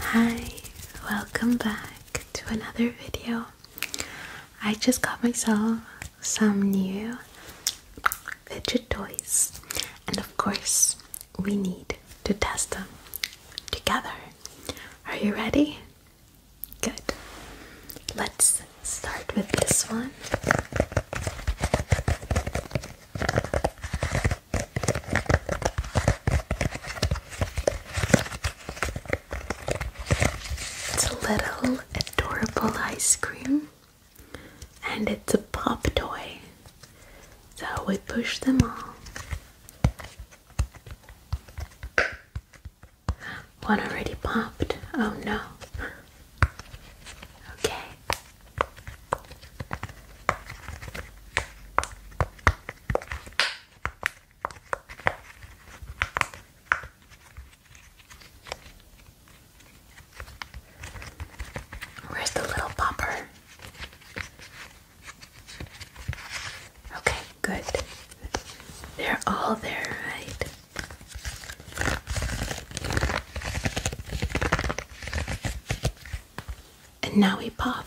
Hi, welcome back to another video. I just got myself some new fidget toys, and of course, we need to test them together. Are you ready? Good. Let's start with this one. It's a little adorable ice cream and it's a pop toy. So we push them all. One already popped. Oh no. Okay, Where's the little popper? Okay, good. They're all there, right? and now we pop.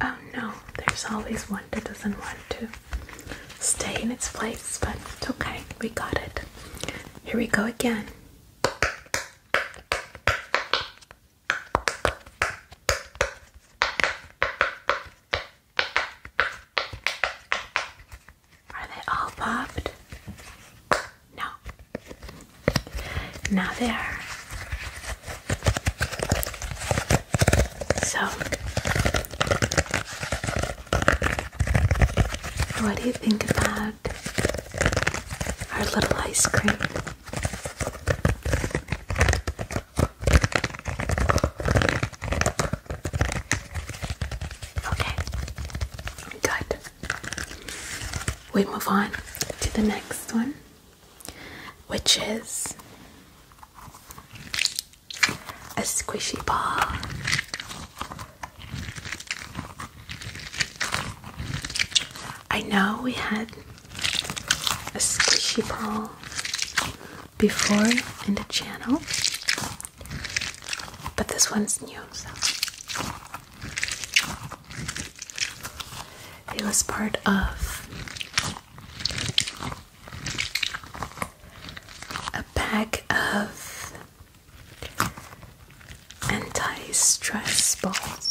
Oh no, there's always one that doesn't want to stay in its place, but it's okay, we got it. Here we go again. Are they all popped? No. Now they are. So, what do you think about our little ice cream? Okay, good we move on to the next one, which is a squishy ball. I know we had a squishy ball before in the channel, but this one's new, It was part of a pack of anti stress balls.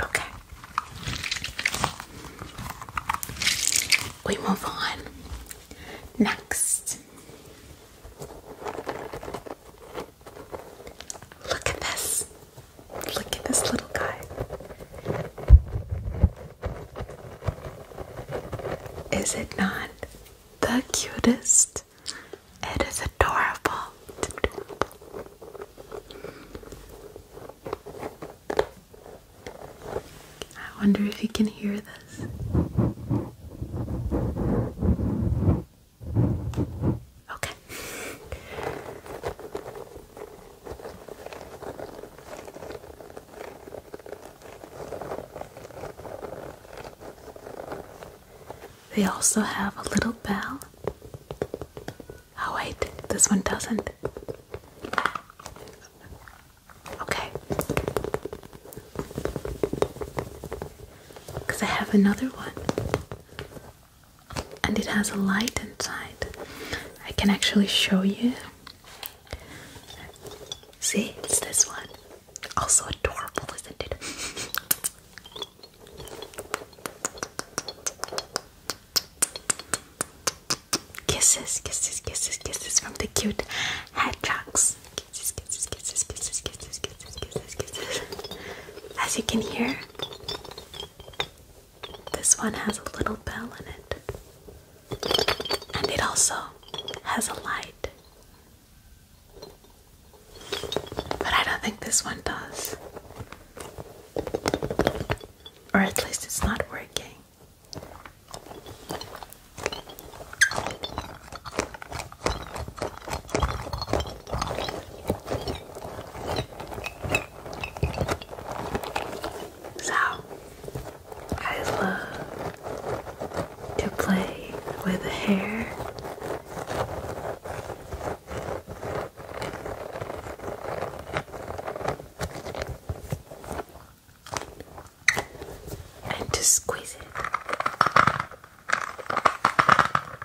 Okay. We move on. Next. Look at this. Look at this little guy. Is it not the cutest? It is adorable. I wonder if you can hear this. Okay. They also have a little bell. Oh, wait, this one doesn't. Okay. Because I have another one and it has a light inside. I can actually show you. See, it's this one. Also adorable, isn't it? Kisses, kisses, kisses, kisses from the cute hedgehogs. Kisses, kisses, kisses, kisses, kisses, kisses, kisses, kisses. As you can hear, this one has a little bell in it, and it also has a light. But I don't think this one does. Or at least it's not working. So, I love to play with the hair. And to squeeze it.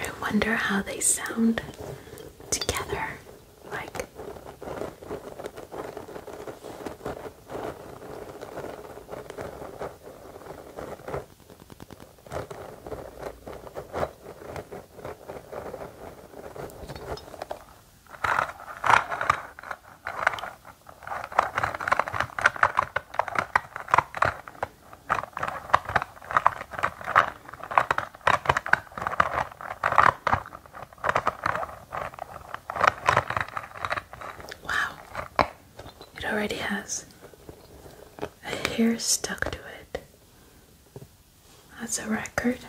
I wonder how they sound together. Like, Wow, it already has a hair stuck to it. That's a record.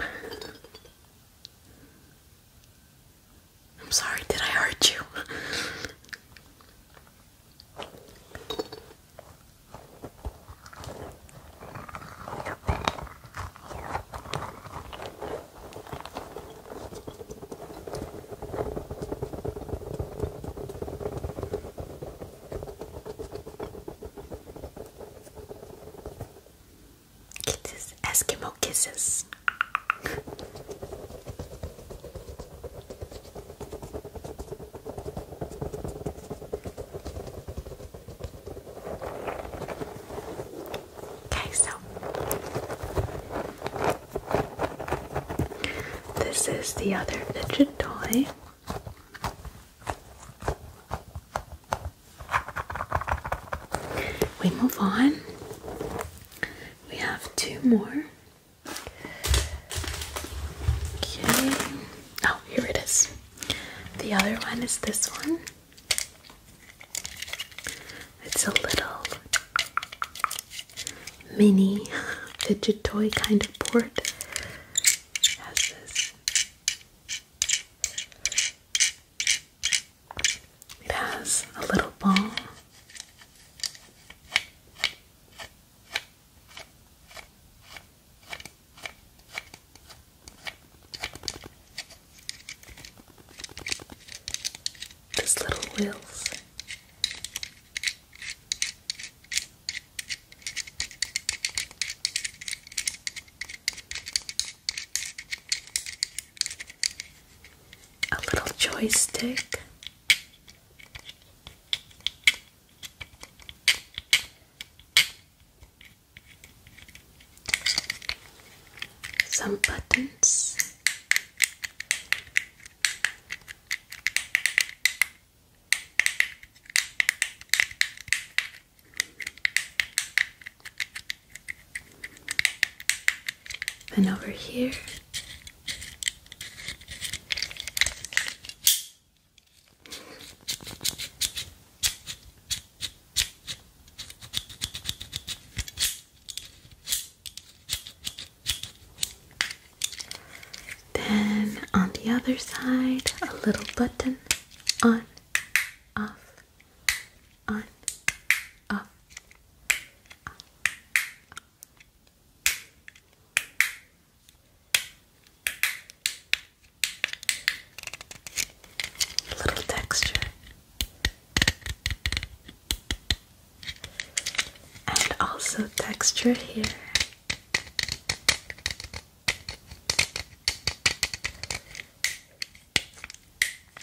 I'm sorry, did I hurt you? Kisses, Eskimo kisses. okay, so this is the other fidget toy. We move on. We have two more. Okay. Oh, here it is. The other one is this one. It's a little mini digitoy kind of port. has this it has a little ball. There's little wheels a little joystick. Some buttons, and over here. Then on the other side, a little button on, off, on, off, Little texture. And also texture here.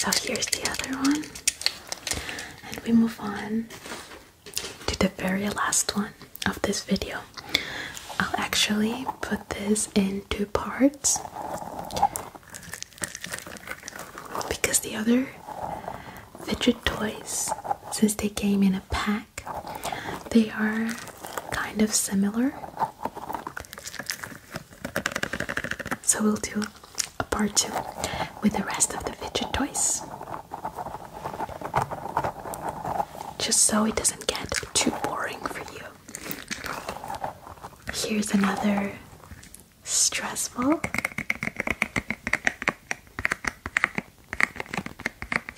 So here's the other one, and we move on to the very last one of this video. I'll actually put this in two parts because the other fidget toys, since they came in pack. They are kind of similar. So we'll do a part two with the rest of the fidget toys. Just so it doesn't get too boring for you. Here's another stressful.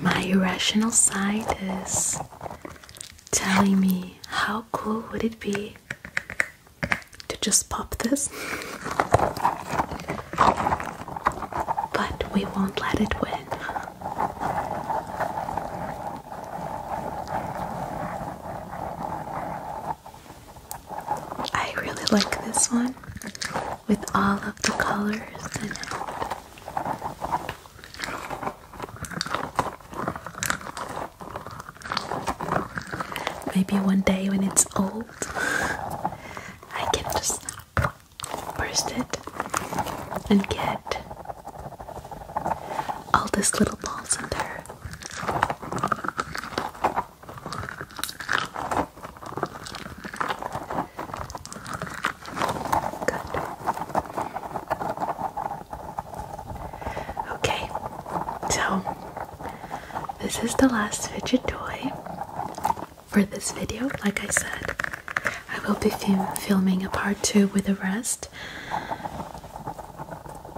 My rational side is telling me how cool would it be to just pop this, but we won't let it win. I really like this one with all of the colors Maybe one day when it's old, I can just burst it and get all these little balls in there. Good. Okay, so this is the last fidget toy for this video. Like I said, I will be filming a part two with the rest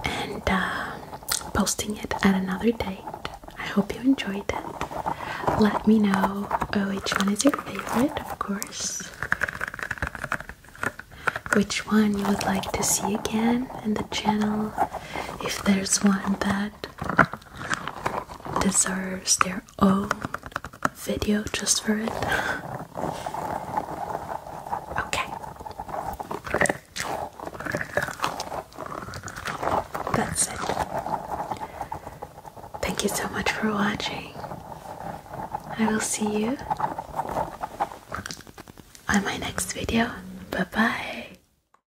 and uh, posting it at another date. I hope you enjoyed it. Let me know oh, which one is your favorite, of course. Which one you would like to see again in the channel? If there's one that deserves their own video just for it. Okay. That's it. Thank you so much for watching. I will see you on my next video. Bye bye.